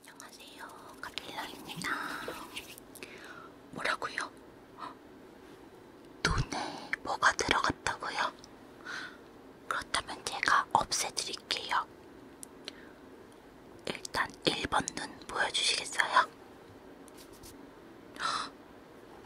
안녕하세요. 가필라입니다. 뭐라고요? 눈에 뭐가 들어갔다고요? 그렇다면 제가 없애드릴게요. 일단 1번 눈 보여주시겠어요?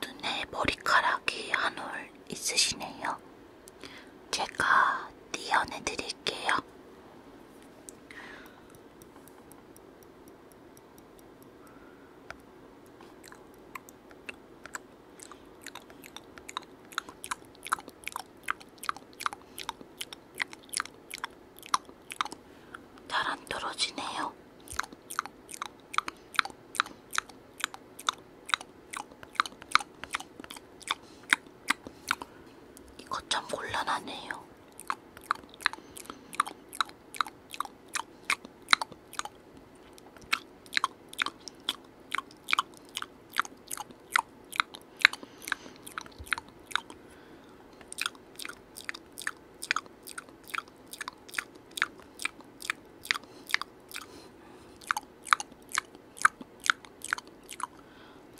눈에 머리카락이 한 올 있으시네요. 제가 띄어내드릴게요. 잘안 떨어지네요. 이거 참 곤란하네요.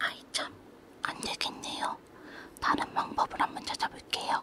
아이 참 안되겠네요. 다른 방법을 한번 찾아볼게요.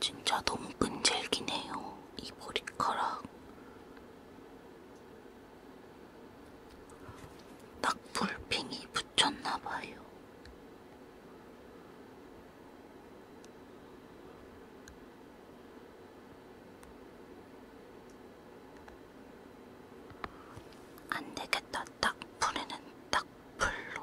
진짜 너무 끈질기네요, 이 머리카락. 낙불핑이 붙였나봐요. 안 되겠다. 딱 불에는 딱 불로.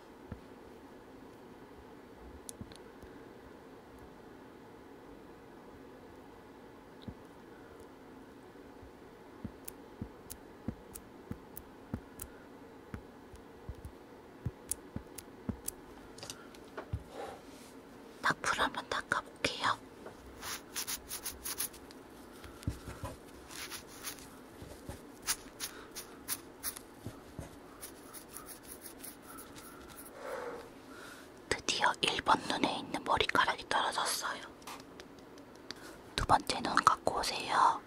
나풀 한번 닦아볼게요. 드디어 1번 눈에 있는 머리카락이 떨어졌어요. 두 번째 눈 갖고 오세요.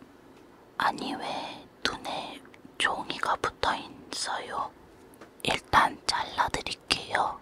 아니 왜 눈에 종이가 붙어 있어요? 일단 잘라드릴게요.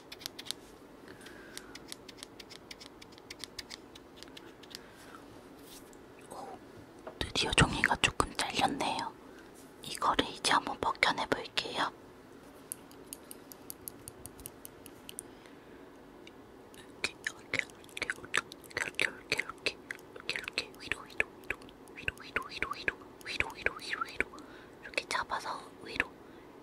오, 드디어 종이가 조금 잘렸네요. 이거를 이제 한번 벗겨내 볼게요. 이렇게, 이렇게, 이렇게, 이렇게, 이렇게, 이렇게, 이렇게, 위로, 위로, 위로, 위로, 위로, 위로, 위로, 위로, 위로, 위로, 위로, 이렇게 잡아서 위로,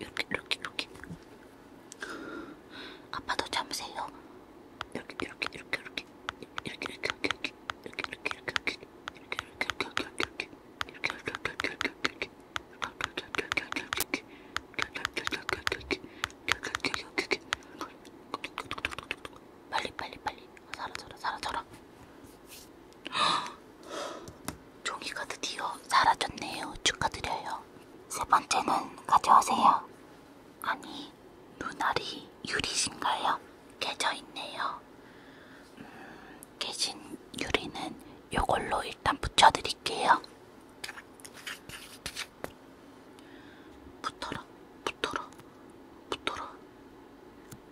이렇게 이렇게 이렇게 아빠도 잠으세요 이렇게 이렇게 이렇게 이렇게 이렇게 이렇게 이렇게 이렇게 이렇게 이렇게 이렇게 이렇게 이렇게 빨리 빨리 빨리 사라져라 사라져라 종이가 드디어 사라졌네요 축하드려요 세 번째는 가져오세요 아니 눈알이 유리신가요? 깨져있네요 음, 깨진 유리는 요걸로 일단 붙여드릴게요 붙어라 붙어라 붙어라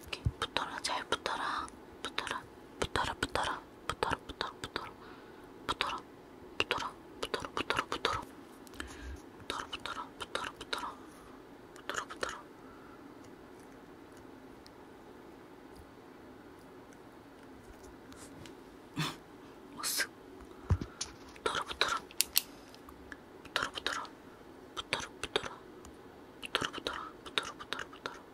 이렇게 붙어라 잘 붙어라 붙어라 붙어라 붙어라 붙어라 붙어라 붙어라 붙어라 붙어라 붙어라 붙어라 붙어라 붙어라 붙어라 붙어라 붙어라 붙어라 붙어라 어스 붙어라 붙어라 붙어라 붙어라 붙어라 붙어라 붙어라 붙어라 붙어라 붙어라 붙어라 붙어라 붙어라 붙어라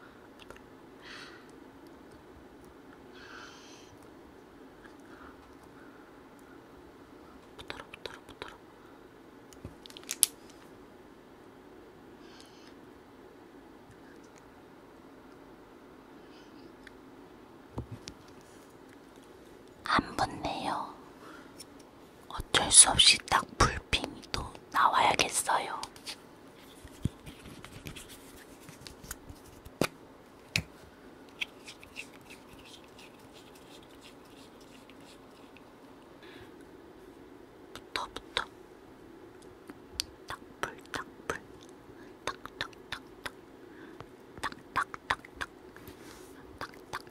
안 붙네요. 어쩔 수 없이 딱 불핑이 또 나와야겠어요. 부터부터 딱불딱불 딱딱딱딱 딱딱딱딱 딱딱딱딱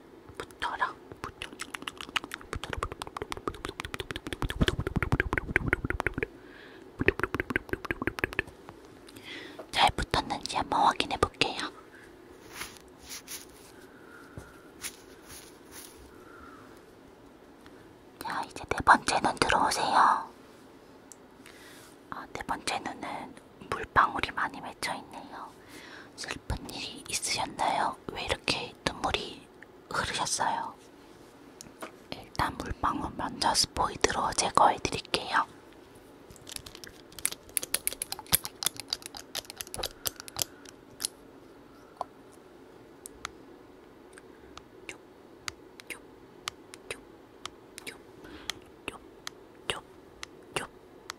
붙어라 붙어 붙어라 잘 붙었는지 한번 확인해 볼게요. 자, 이제 네 번째 눈 들어오세요. 아, 네 번째 눈은 물방울이 많이 맺혀 있네요. 슬픈 일이 있으셨나요? 왜 이렇게 눈물이 흐르셨어요? 일단 물방울 먼저 스포이드로 제거해 드릴게요.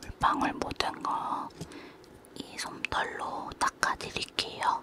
물방울 묻은 거이 솜털로 닦아드릴게요.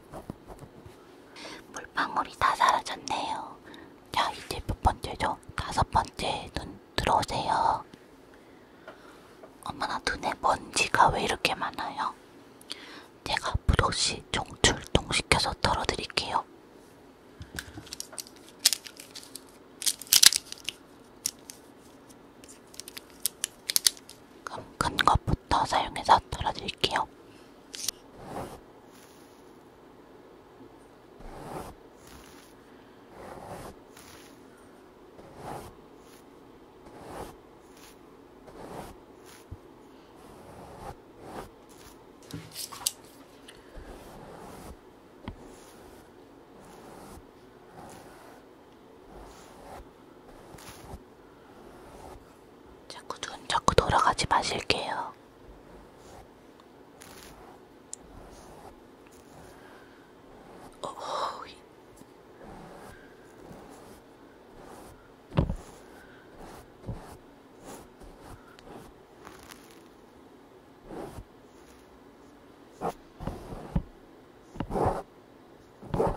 물방울이 다 사라졌네요. 자, 이제 몇 번째죠? 다섯 번째 눈 들어오세요. 엄마나 눈에 먼지가 왜 이렇게 많아요? 제가 부도시 종출동시켜서 털어드릴게요. 그럼 큰 것부터 사용해서 털어드릴게요. 자꾸 눈 자꾸 돌아가지 마실게요. 오호. 어,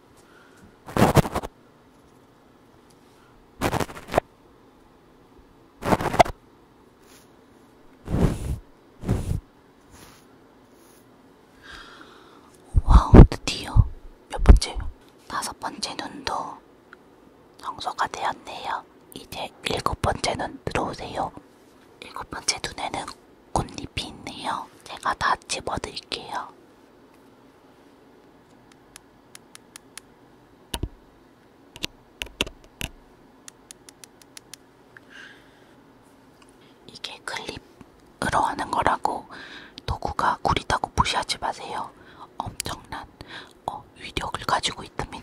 와우 드디어 몇 번째? 다섯 번째 눈도 청소가 되었네요. 이제 일곱 번째 눈 들어오세요. 일곱 번째 눈에는 꽃잎이 있네요. 제가 다 집어드릴게요. 이게 클립으로 하는 거라고 도구가 구리다고 무시하지 마세요. 엄청난 어, 위력을 가지고 있답니다.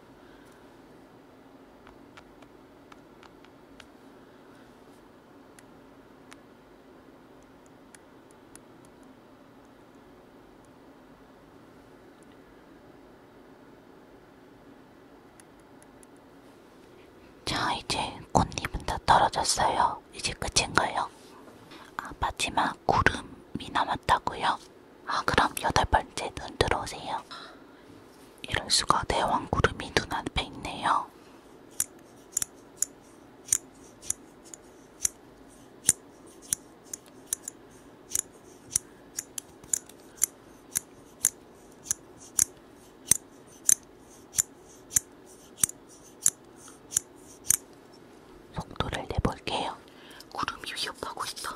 자, 이제 꽃잎은 다 떨어졌어요. 이제 끝인가요? 아, 마지막 구름이 남았다고요? 아, 그럼 여덟 번째 눈 들어오세요. 이럴 수가 대왕구름이 눈앞에 있네요. 속도를 내볼게요. 구름이 위협하고 있어.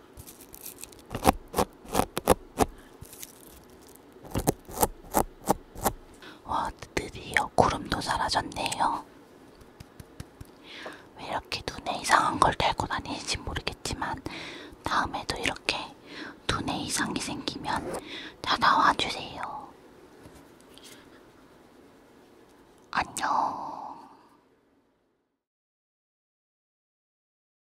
와, 드디어 구름도 사라졌네요. 왜 이렇게 눈에 이상한 걸 달고 다니는지 모르겠지만, 다음에도 이렇게 눈에 이상이 생기면 다 나와주세요. 안녕.